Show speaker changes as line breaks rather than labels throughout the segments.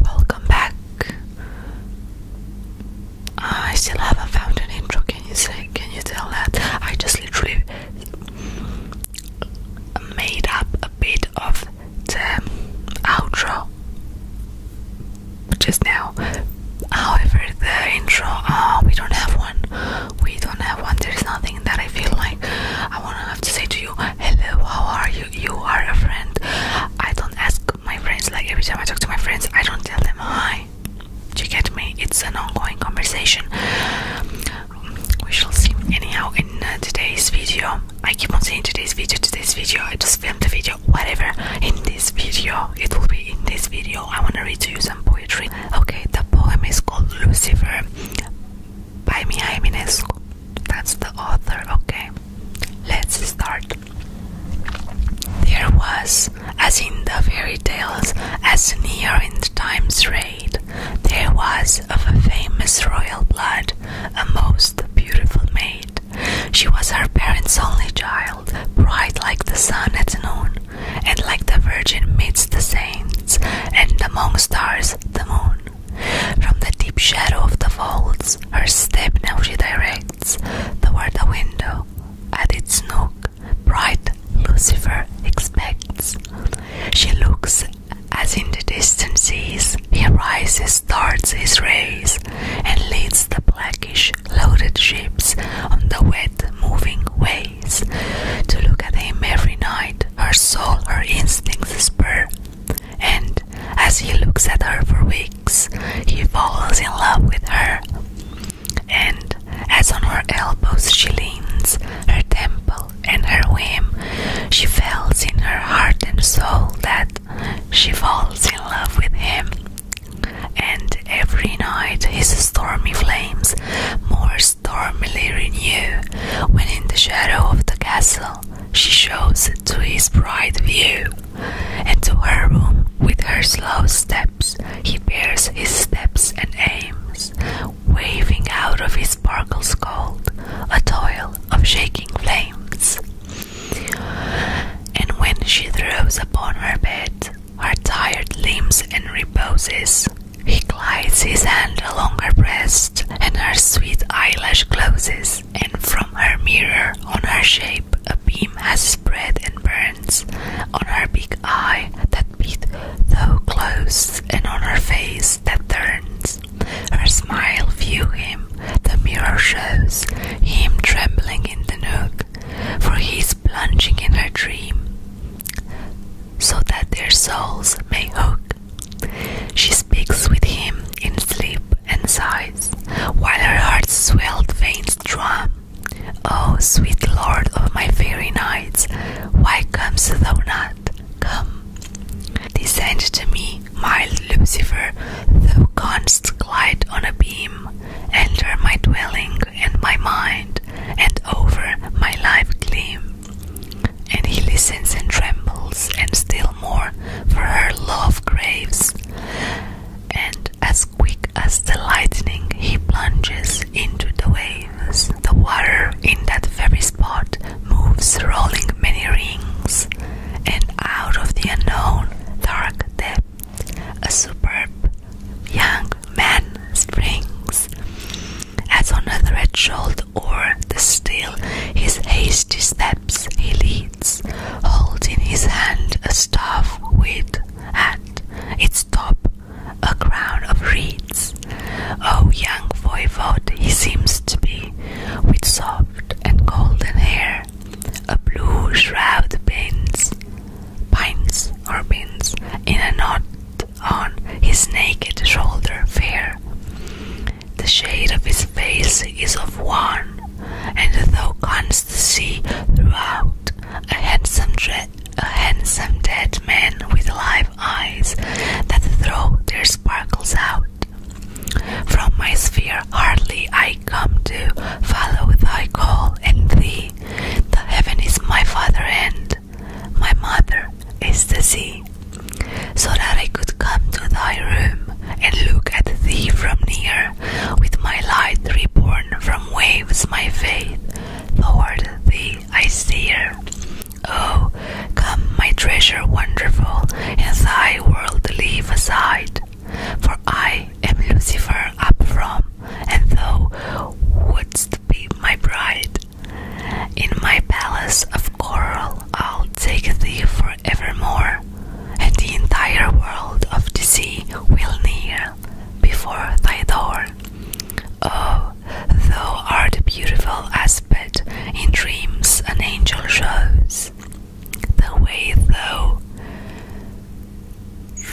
Welcome back. I still haven't found an intro. Can you say? Can you tell that? I just literally made up a bit of the outro just now. However, the intro, uh, we don't have one. We don't have one. There's nothing that I feel like I wanna have to say to you. Hello, how are you? you are a friend. I don't ask my friends like every time I talk to my friends, I don't tell them hi. Do you get me? It's an ongoing conversation. We shall see. Anyhow, in uh, today's video, I keep on saying today's video, today's video. I just filmed a video, whatever. In this video, it will be in this video. I want to read to you some poetry. Okay, the poem is called Lucifer by Mia Eminescu. That's the author, okay? Let's start. There was, as in the fairy tales, as near in time's rate, there was of a famous royal blood a most beautiful maid. She was her parents' only child, bright like the sun at noon, and like the virgin midst the saints, and among stars the moon. From the deep shadow of the vaults, her step now she directs toward the window. At its nook, bright Lucifer expects. She looks as in the distances he rises, starts his rays, and leads the blackish loaded ships on the wet moving waves. To look at him every night, her soul, her instincts spur and as he looks at her for weeks, he falls in love with her. And as on her elbows she leans, her temple and her whim, she feels in her heart and soul that she falls in love with him. And every night his stormy flames more stormily renew within the shadow of the castle she shows to his bright view, and to her room with her slow steps he bears his steps and aims, waving out of his sparkles gold a toil of shaking flames. And when she throws upon her bed her tired limbs and reposes, he glides his hand a longer breast, and her sweet eyelash closes, and from her mirror on her shape a beam has spread and burns on her big eye that beat though closed, and on her face that turns. Her smile view him, the mirror shows him trembling in the nook, for he is plunging in her dream, so that their souls may hook she speaks with him in sleep and sighs, while her heart's swelled veins drum. O oh, sweet lord of my fairy nights, why comest thou not? Come, descend to me, mild Lucifer, thou canst glide on a beam, enter my dwelling and my mind, and over my life gleam and he listens and trembles, and still more, for her love craves. And as quick as the lightning, he plunges into the waves. The water in that very spot moves, rolling many rings, and out of the unknown dark depth, a superb young man springs. As on a threshold or the still, his hasty steps he leads, holding in his hand a staff with at its top a crown of reeds. O oh, young voivode he seems to be, with soft and golden hair, a blue shroud bends, pines or pins in a knot on his naked shoulder fair. The shade of his face is of one, and thou canst see throughout a handsome, a handsome dead man with live eyes that throw their sparkles out. From my sphere hardly I come to follow thy call and thee. The heaven is my father, and my mother, is the sea, so that I could come to thy room and look at thee from near, with my light reborn from waves, my faith Lord, thee I steer. Oh, come, my treasure wonderful, and thy world leave aside, for I am Lucifer up from, and thou wouldst be my bride. In my palace of coral, I'll take thee forevermore, and the entire world of the sea will kneel before thy door. Oh, thou art beautiful as aspect in dreams an angel shows. The way thou,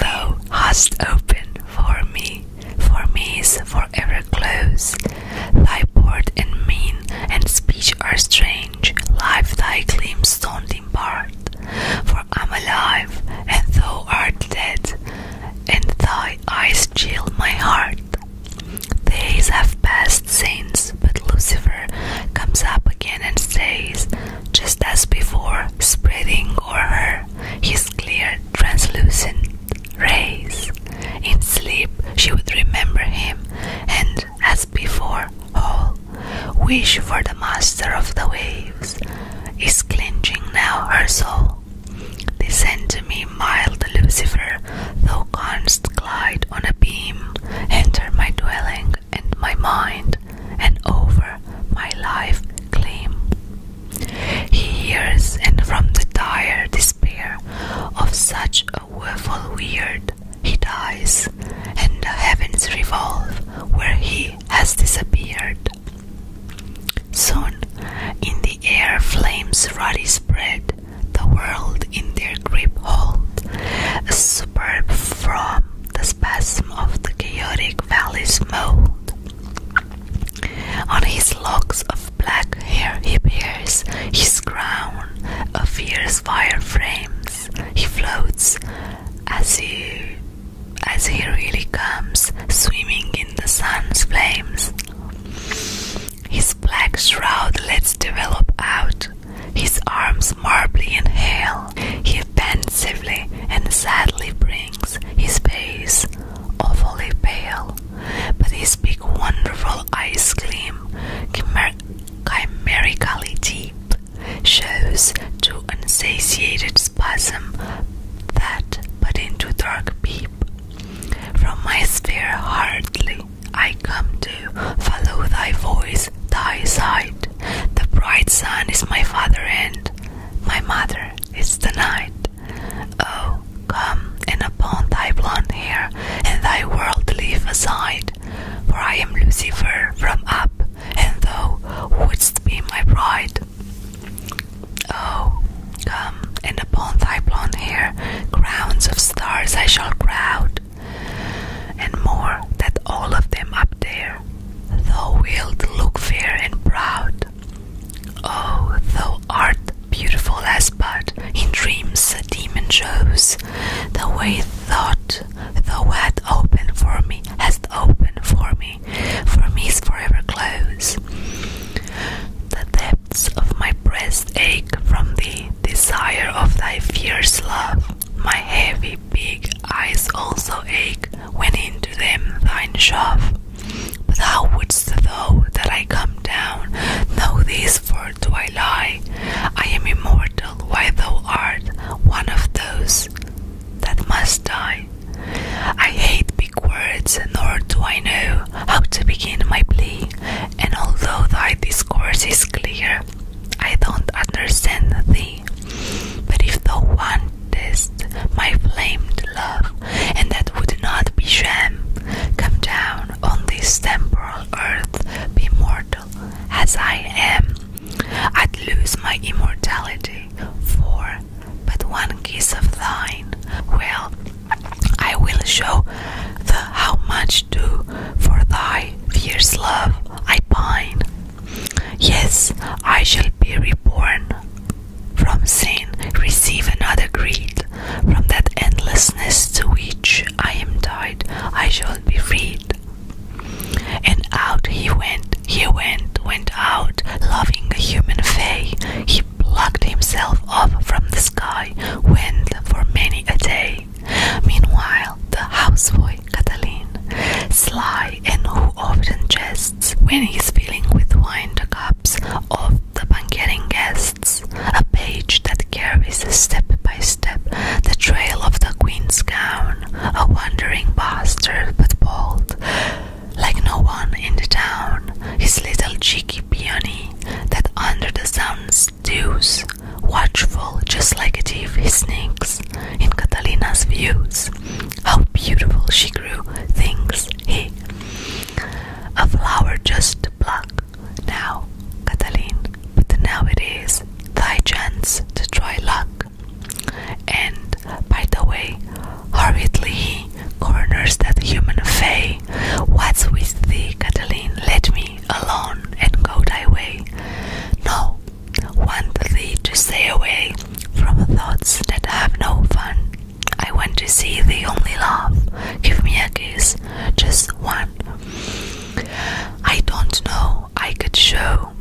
thou hast opened for me for me is forever close. Thy port and mien and speech are strange, life thy claims don't impart. For I'm alive, and thou art dead, and thy eyes chill my heart. Days have passed since, but Lucifer comes up again and says, just as before, spreading o'er her his clear, translucent rays. In sleep, she would remember him, and as before, all wish for the master of the waves is clenching now her soul. Descend to me, mild Lucifer, thou canst glide on a beam, enter my dwelling and my mind, and over my life claim. He hears, and from the dire despair of such a woeful weird, he dies, and the heavens revolve where he has disappeared. Soon, in the air, flames ruddy spread, the world in their grip hold, a superb from the spasm of the chaotic valley's mold. On his locks of black hair he bears his crown A fierce fire flames. He floats as he as he really comes, swimming in the sun's flames. His black shroud lets develop out, his arms marbly and hale. He pensively and sadly brings his face awfully pale, but his big, wonderful eyes gleam chimer chimerically deep, shows to unsatiated spasm that but into dark deep, From my sphere hardly I come to follow thy voice, thy sight. The bright sun is my father and my mother is the night. Oh, come and upon thy blonde hair, and thy world leave aside, for I am Lucifer from up, and thou wouldst be my bride. Oh, come and upon thy blonde hair, crowns of stars I shall crowd, and more than all of them up there, thou wilt look fair and proud sound. Oh, thou art beautiful as but in dreams a demon shows. The way thought thou hast opened for me, hast opened for me, for me is forever closed. The depths of my breast ache from the desire of thy fierce love. My heavy big eyes also ache went into them thine shove. But thou wouldst though that I come down, know this, for do I lie? I am immortal, while thou art one of those that must die. I hate big words, nor do I know how to begin my plea, and although thy discourse is clear, I don't understand thee. But if thou want this my flamed love, and that would not be sham. Come down on this temporal earth, be mortal as I am. I'd lose my immortality for but one kiss of thine. Well, I will show the how much do for thy fierce love I pine. Yes, I shall be reborn from sin, receive another creed from that endlessness to which I am tied. I shall be freed. And out he went, he went, went out, loving a human fay. He plucked himself up from the sky, went for many a day. Meanwhile, the houseboy Catalin, sly and who often jests when he's filling with wine the cups of the banqueting guests, a page that carries step by step the trail of the queen's gown, a wandering bastard but bold, like no one in the town, his little cheeky peony that under the sun dews, watchful just like a thief he sneaks in Catalina's views, how beautiful she grew, thinks he. A flower just to pluck. Now, Cataline, but now it is thy chance to try luck. And, by the way, hurriedly he corners that human fay. What's with thee, Cataline? Let me alone and go thy way. No, want thee to stay away from thoughts that have no fun. I want to see thee only love. Give me a kiss, just one. I don't know, I could show.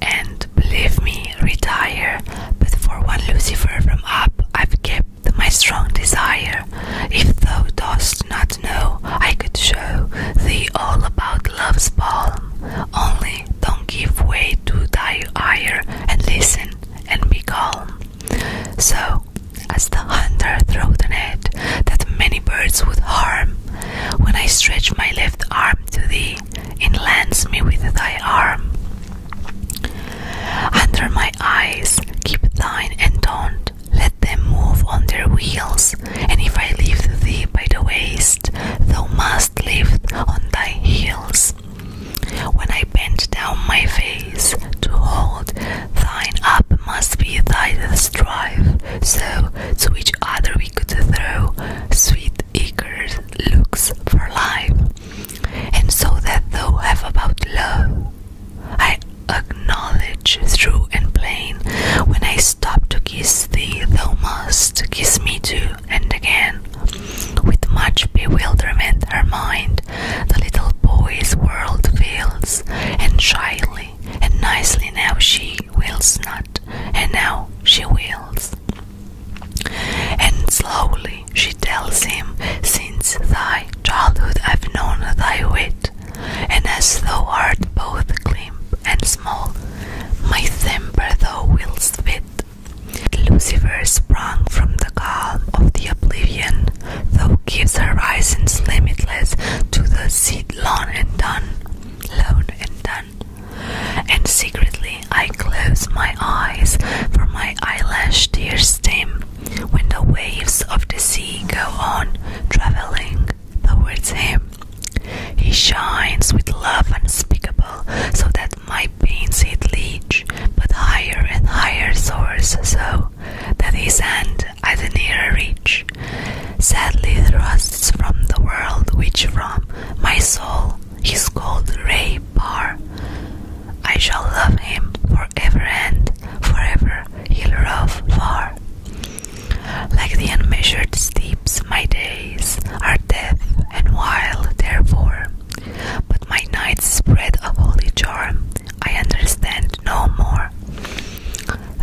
And believe me, retire. But for one Lucifer from up, I've kept my strong desire. If thou dost not know, I could show thee all about love's palm. Only don't give way to thy ire and listen and be calm. So, as the hunter threw the net that many birds would harm, when I stretch my left arm to thee, enlance me with thy arm. Under my eyes keep thine and don't let them move on their wheels, and if I leave thee by the waist, thou must lift on thy heels. When I bend down my face to hold, thine up must be thy strife. So to each other we could throw sweet eager looks for life. And so that thou have about love, I acknowledge through and plain. When I stop to kiss thee, thou must kiss me too and again. With much bewilderment, her mind, the little boy's world feels, and shyly and nicely now she wheels not, and now she wheels, And slowly she tells him, Since thy childhood I've known thy wit, and as thou art both glimp and small, my temper though wilt spit. Lucifer sprung from the calm of the oblivion, thou gives horizons limitless to the seed lone and done, lone and done. And secretly I close my eyes, for my eyelash tears stem, when the waves of the sea go on traveling towards him. He shines with love unspeakable, so that my pains it leech, but higher and higher soars, so that his hand I the nearer reach. Sadly thrusts from the world, which from my soul is called Ray Bar. I shall love him forever and forever he'll rove far. Like the unmeasured steeps, my days are death and wild, therefore, but my nights spread a holy charm. I understand no more.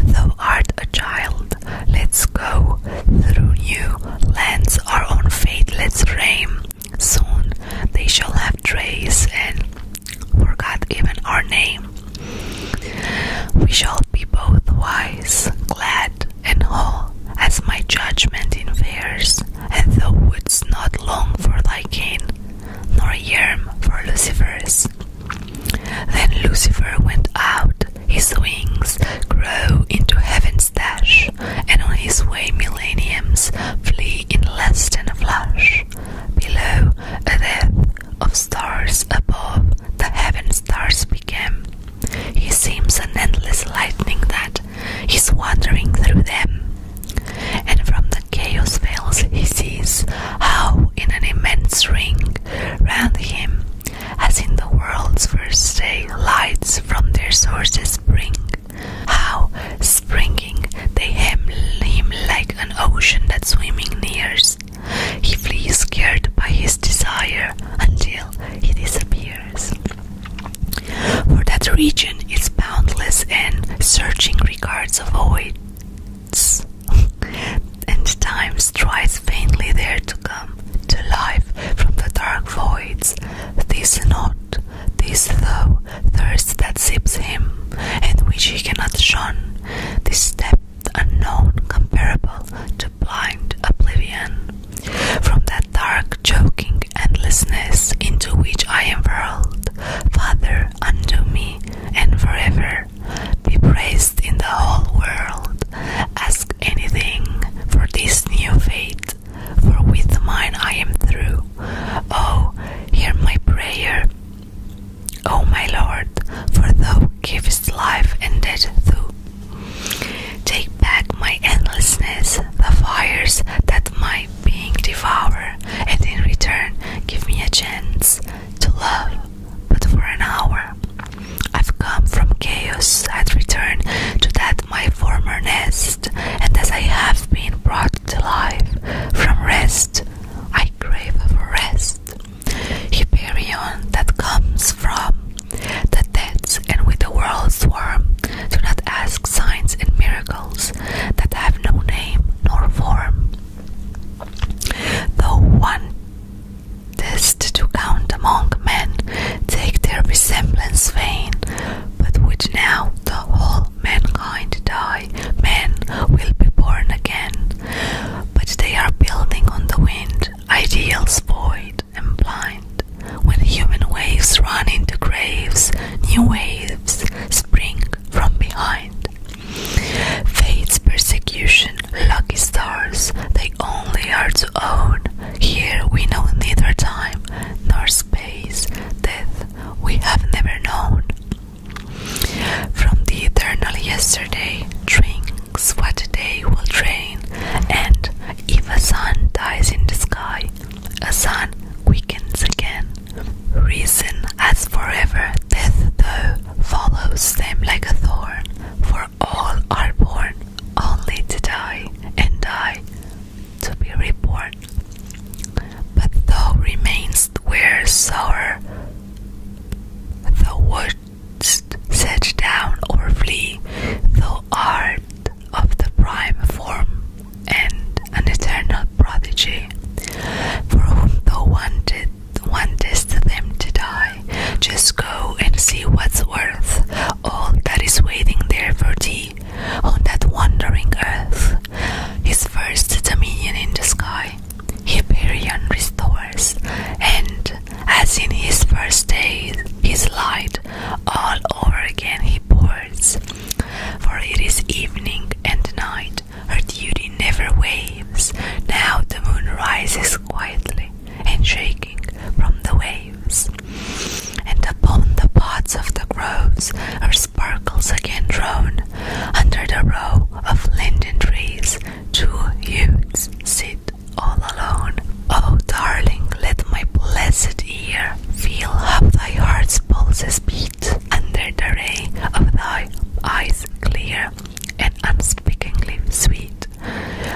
Thou art a child, let's go through new lands, our own fate, let's frame. Soon they shall have trace and forgot even our name. We shall be both wise, glad and whole as my judgment in and thou wouldst not long for thy gain, nor yearn for Lucifer's. Then Lucifer went out, his wings grow into heaven's dash, and on his way millenniums flee in less than a flash. Below, a death of stars above, the heaven stars became, he seems an endless lightning that is wandering through them, and from the chaos veils he sees how, in an immense ring round him, as in the world's first day, lights from their sources spring, how, springing, they hem him like an ocean that swimming nears, he flees scared by his desire until he disappears. For that region is boundless and searching regards avoids, and time strives vainly there to come to life from the dark voids. This not, this though, thirst that sips him, and which he cannot shun, this step unknown comparable to blind oblivion. From that dark, choking endlessness into which I am hurled, Father, unto me, and forever be praised in the whole world. Ask anything for this new fate, for with mine I am through. Oh, hear my prayer. O my Lord, for thou givest life and death thou. Take back my endlessness, the fires that my being devour, and in return give me a chance to love, but for an hour. I've come from chaos, I'd return to that my former nest, and as I have been brought to life from rest, I crave for rest. Hyperion that comes from the depths and with the world's warm, do not ask signs and miracles that have no name nor form. Though one test to count among men, take their resemblance vain, but which now the whole mankind die, men will be born again but they are building on the wind, ideals void and blind. When human waves run into graves, new waves spring from behind. Fate's persecution, lucky stars, they only are to own. Here we know neither time nor space, death we have never known. From the eternal yesterday drinks what day will drain, and if a sun dies in the sky, a sun quickens again. Reason has forever, death though follows them like a thorn, for all are born only to die, and die to be reborn. But thou remains where sorrow the wouldst set down or flee, the art of the prime form and an eternal prodigy, for whom the one did, wanted, wantest them to die. Just go and see what's worth all that is waiting there for thee on that wandering earth. His first dominion in the sky, by Hyperion restores, and as in his first days, his light all over again he pours. For it is evening and night, her duty never wanes. Now the moon rises quietly and shaking from the waves, and upon the pots of the groves her sparkles again drone, under the row of linden trees, two youths sit all alone. Oh, darling, let my blessed ear feel how thy heart's pulses beat under the ray of thy eyes clear and unspeakingly sweet.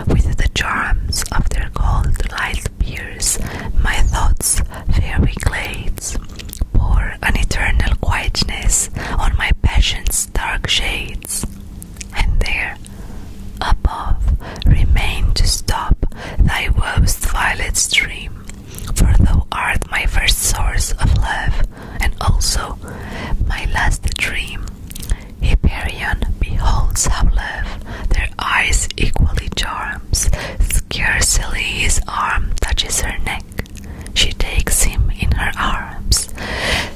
With the charms of their gold light pierce my thoughts fairy glades pour an eternal quietness on my passion's dark shades, and there, above, remain to stop thy woest violet stream, for thou art my first source of love, and also my last dream. Hyperion beholds how love their eyes equally charms, scarcely his arm touches her neck. She takes him in her arms.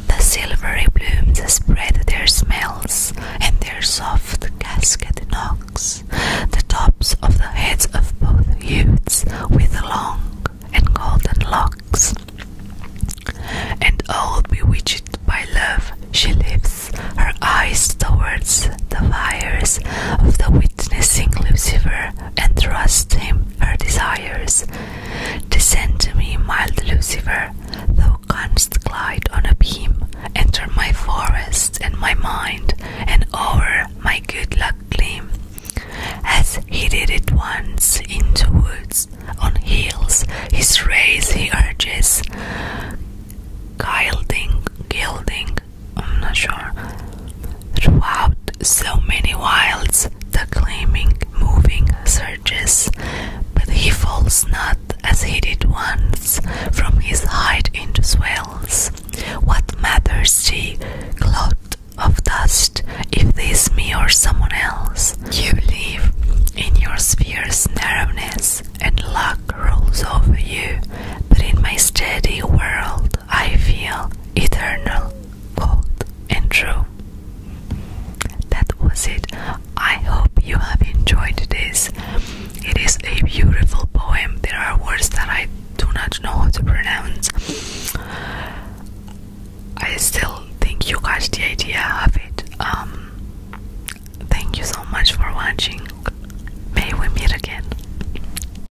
The silvery blooms spread their smells, and their soft casket knocks the tops of the heads of both youths with long and golden locks. And all oh, bewitched by love, she lifts her eyes towards the fires of the witnessing Lucifer and trusts him her desires. Descend to me, mild Lucifer, thou canst glide on a beam, enter my forest and my mind, and o'er my good luck gleam. As he did it once into woods, on hills, his rays he urges, gilding, gilding I'm not sure. Throughout so many wilds, the moving surges, but he falls not as he did once from his height into swells. What matters the cloud of dust if this me or someone else? You live in your sphere's narrowness, and luck rolls over you, but in my steady world, I feel eternal, cold and true. That was it. I hope you have enjoyed this. It is a beautiful poem. There are words that I do not know how to pronounce. I still think you got the idea of it. Um, thank you so much for watching. May we meet again.